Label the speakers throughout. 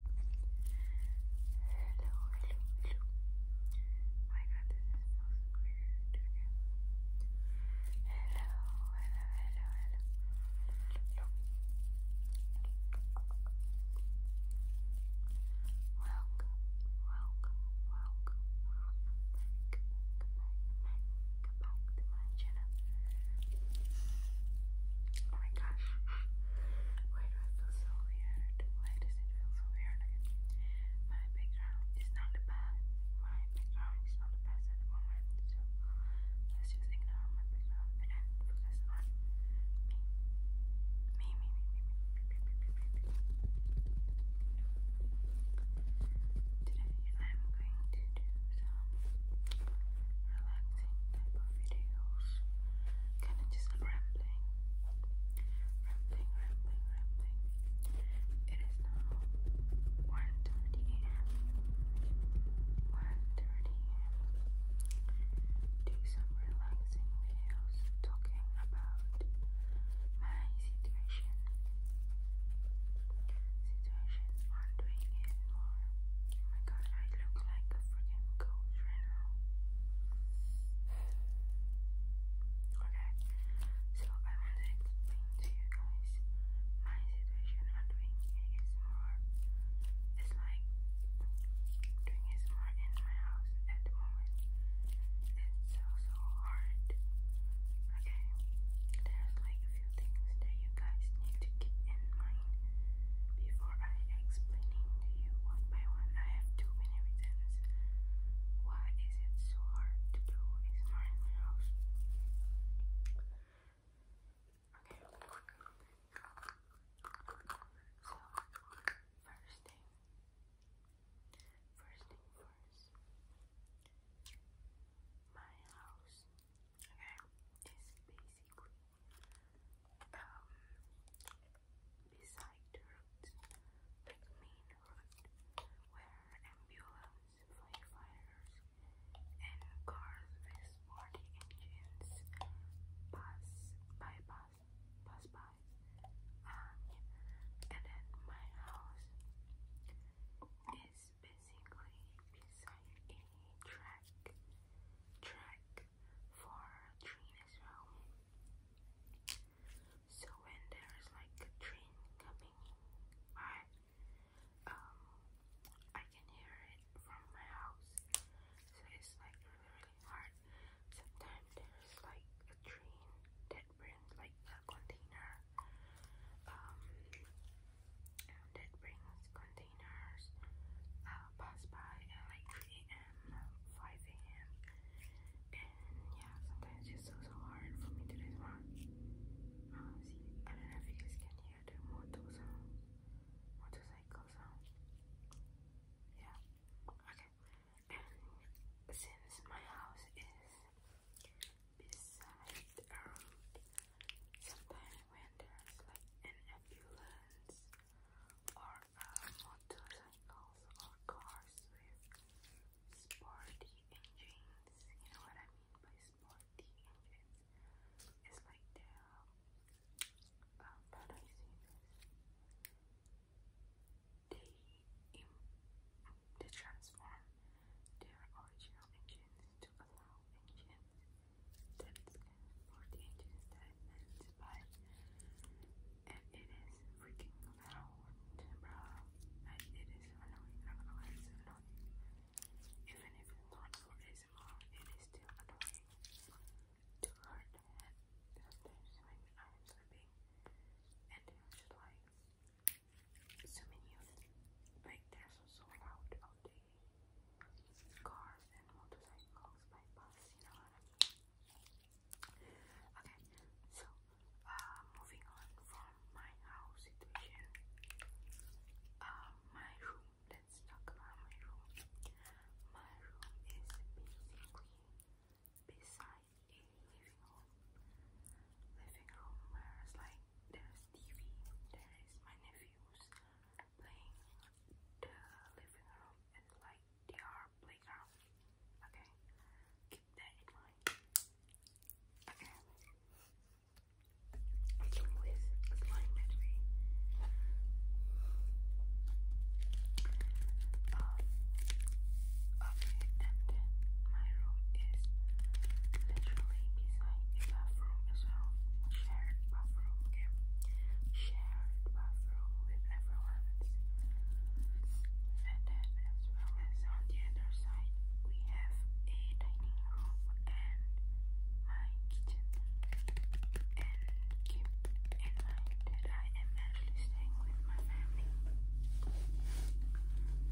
Speaker 1: Hello, hello, hello. My god, this is weird. Hello, hello, hello, hello. Welcome, welcome, welcome, back, back, back, back to my channel. Oh my gosh. Why do I feel so weird? Why does it feel so weird? My background is not the My background is not the at the So let's just ignore my background and focus on me. Me, me, me, me, me, me, me, me, me. Today I'm going to do some relaxing type of videos, kind of just rambling, rambling, rambling, rambling. It is now 1.30 Do some relaxing videos talking about my situation. Situation on it more Oh my god, I look like a freaking ghost right now. Okay, so I want to explain to you guys my situation on doing ASMR. It's like doing ASMR in my house at the moment. It's so, so hard. Okay, there's like a few things that you guys need to keep in mind before I explaining to you one by one, I have too many reasons. Why is it so hard to do ASMR my house? Okay. first thing. First thing first. My house Okay, it's basically um beside the road, like main road, where ambulance, firefighters, and cars with sporty engines pass by, pass, by. Um, and then my house is basically beside a track track for a train as well. So when there is like a train coming by, um, I can hear it from my house. So it's like really, hard. Sometimes there's like a train that brings like a container um, and brings containers uh, by like 3 a.m., 5 a.m. And yeah, sometimes it's so, so hard for me to this uh, one. I don't know if you guys can hear the motor sound, motorcycle sound. Yeah, okay. And since my house is beside the road, Sometimes when there's like an ambulance or motorcycles or cars with sporty engines, you know what I mean by sporty engines? It's like uh, they um, how do They, transform their original engines to allow ancient texts for the ancient statements, and it is freaking loud, bro. And it is annoying. i gonna lie, Even if it's not for ASMR, it is still annoying to her sometimes when I am sleeping and there's like so many like they so loud all day cars and motorcycles by bus, you know Okay, so uh, moving on from my house situation, uh, my room, let's talk about my room. My room is basically beside a living room. Living room where it's like there is TV, there is my nephews playing the living room and like their playground. Okay, keep Okay, um, okay, my room is literally beside the bathroom as well. Shared bathroom, Shared bathroom with everyone And then, as well as on the other side, we have a dining room and my kitchen. And keep in mind that I am actually staying with my family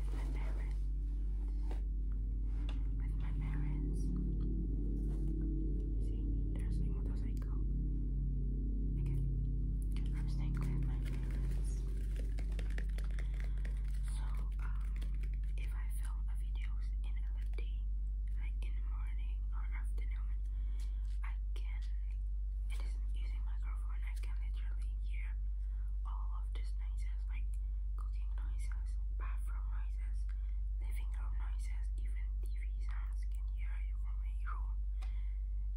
Speaker 1: with my parents. With my parents. See, they're staying with I am staying with my parents. So, um, if I film videos in LFD, like in the morning or afternoon, I can. It isn't using microphone. I can literally hear all of these noises like cooking noises, bathroom noises, living room noises, even TV sounds can hear you from a room.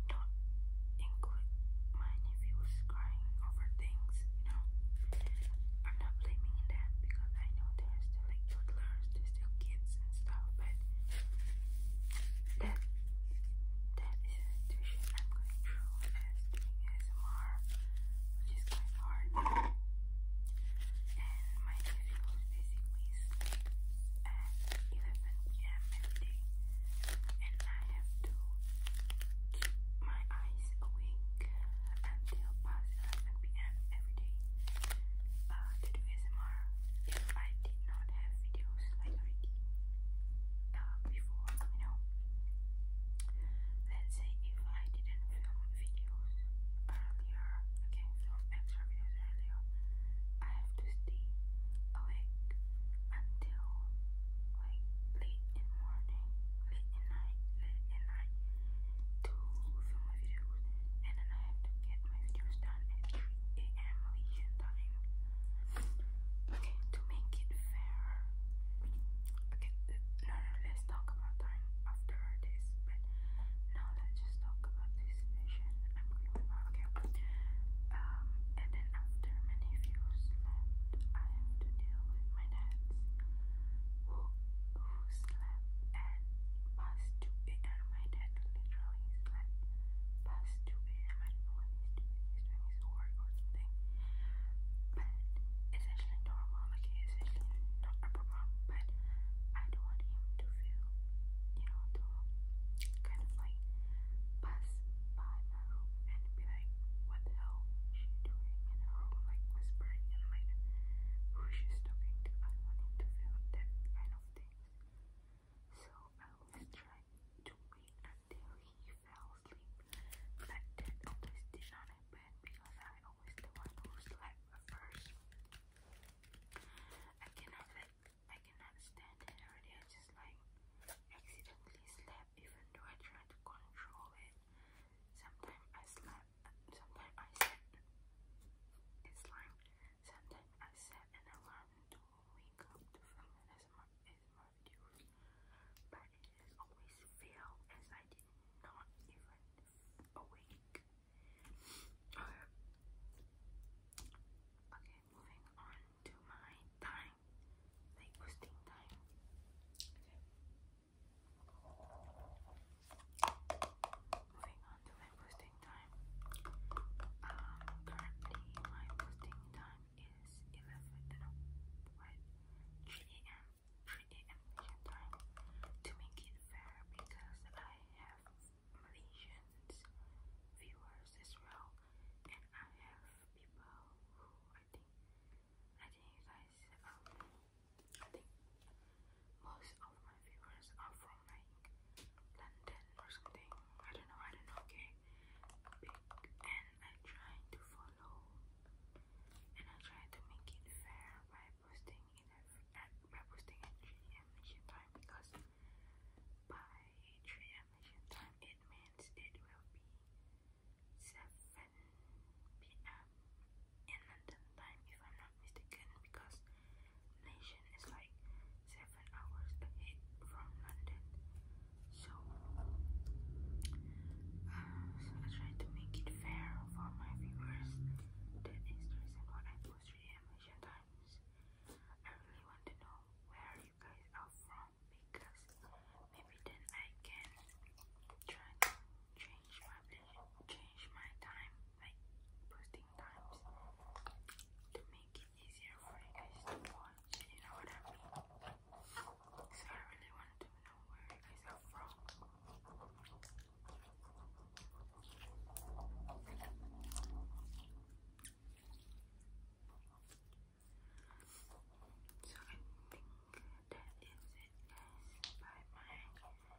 Speaker 1: Not include my nephews crying over things, you know. I'm not blaming them because I know they're still like toddlers, they're still kids and stuff, but that that is a situation I'm going through as doing ASMR, which is quite hard. And my schedule basically sleep at 11 pm every day, and I have to keep my eyes awake until past 11 pm every day uh, to do ASMR. If I did not have videos like already uh, before, you know, Let's say if I didn't film videos earlier, I can film extra videos earlier. I have to stay awake until like late in morning, late in night, late in night to film my videos, and then I have to get my videos done at 3 a.m. Malaysian time. Okay, to make it fair, okay, no, no, let's talk about time after this, but now let's just talk about this vision I'm going with my, um, and then after my nephews left, I have to deal with my dad's, who, who slept at past 2 a.m., my dad literally slept past 2 I don't know what he's doing, he's doing Chinese or something. But it's normal, like it's actually not a problem. But I don't want him to feel, you know, kind of like pass by my room and be like, what the hell is she doing in her room, like whispering and like who she's talking to. I don't want him to feel that kind of thing. So I will try to wait until he he fell asleep. But that always did not because I always the one who slept first. I cannot let I cannot stand it already. I just like accidentally slept even though I try to control it. Sometimes I slept sometimes I slept it's like sometimes I set an alarm to wake up to film an videos, but it always failed as I did not even awake. okay, moving on to my time, like posting time. Moving on to my posting time. Um, currently my posting time is 11, no, what, 3 a.m. 3 a.m. Malaysian to make it fair because I have Malaysians viewers as well and I have people who I think I think you guys I think most of my viewers are from like London or something. I don't know, I don't know, okay? pick and I try to follow and I try to make it fair by posting it at by posting at 3am time because by 3am time it means it will be 7pm in London time if I'm not mistaken because Malaysian is like 7 hours ahead from London so, uh, so I try to make it fair for my viewers. That is the reason why I post reanimation times. I really want to know where you guys are from because maybe then I can try change my change my time, like posting times to make it easier for you guys to watch. You know what I mean? Because I really wanted to know where you guys are from. So I think that is it guys by my situation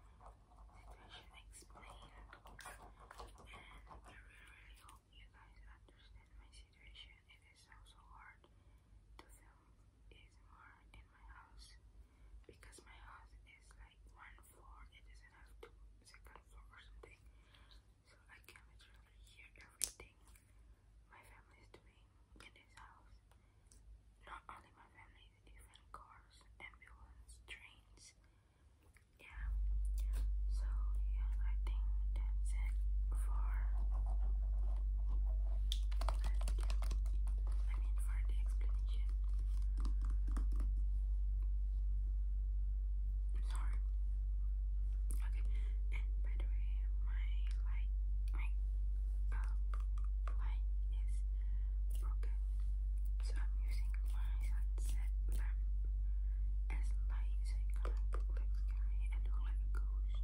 Speaker 1: explained and I really really hope you guys understand my consideration, it is also hard to film ASMR in my house because my house is like one floor, it doesn't have two second floor or something. So I can literally hear everything my family is doing in this house. Not only my family, different cars, ambulances, trains. Yeah, so yeah, I think that's it for I mean for the explanation. sorry. Okay, and by the way, my light my uh, light is broken. So I'm using my sunset lamp as light so it kind of scary and look like ghost.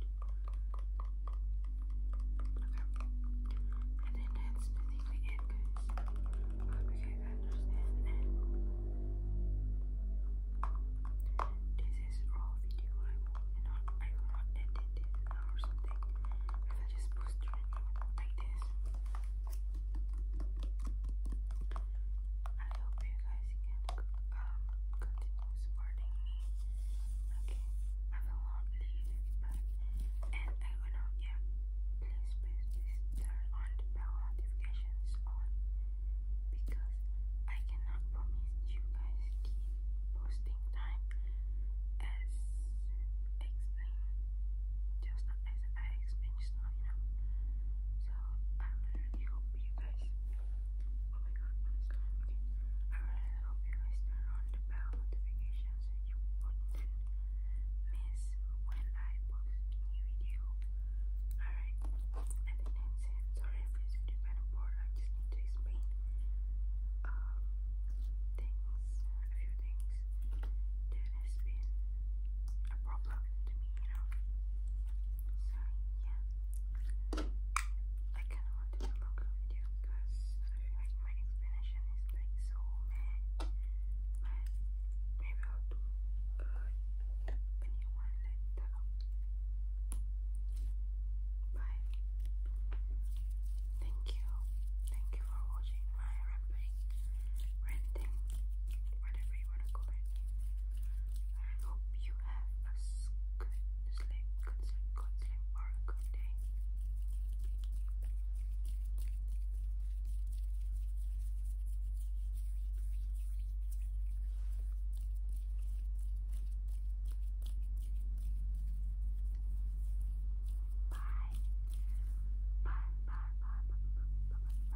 Speaker 1: And then that's basically it, I hope you understand. this is raw video. I will not, I will not edit this or something. If I just post it like this. I hope you guys can um supporting me. Okay, I will not leave, but and I will not. Yeah, please, please, please turn on the bell notifications on because I cannot promise you guys keep posting time as explained just as I explained stuff, you So I really hope you guys oh my god, Okay. I really hope you guys turn on the bell notification so you wouldn't miss when I post new video. Alright, I think that's it. Sorry if this video kind of bored, I just need to explain um things, a few things that has been a problem to me you know. So yeah, I kind of wanted to look a video because I feel like my explanation is like so mad, but maybe I'll do a new one like that. Bye. Thank you. Thank you for watching my rambling, ranting, whatever whatever you want to call I hope you have a good sleep, good sleep, good sleep, or good day. Bye, bye, bye, bye, bye, bye, bye, bye.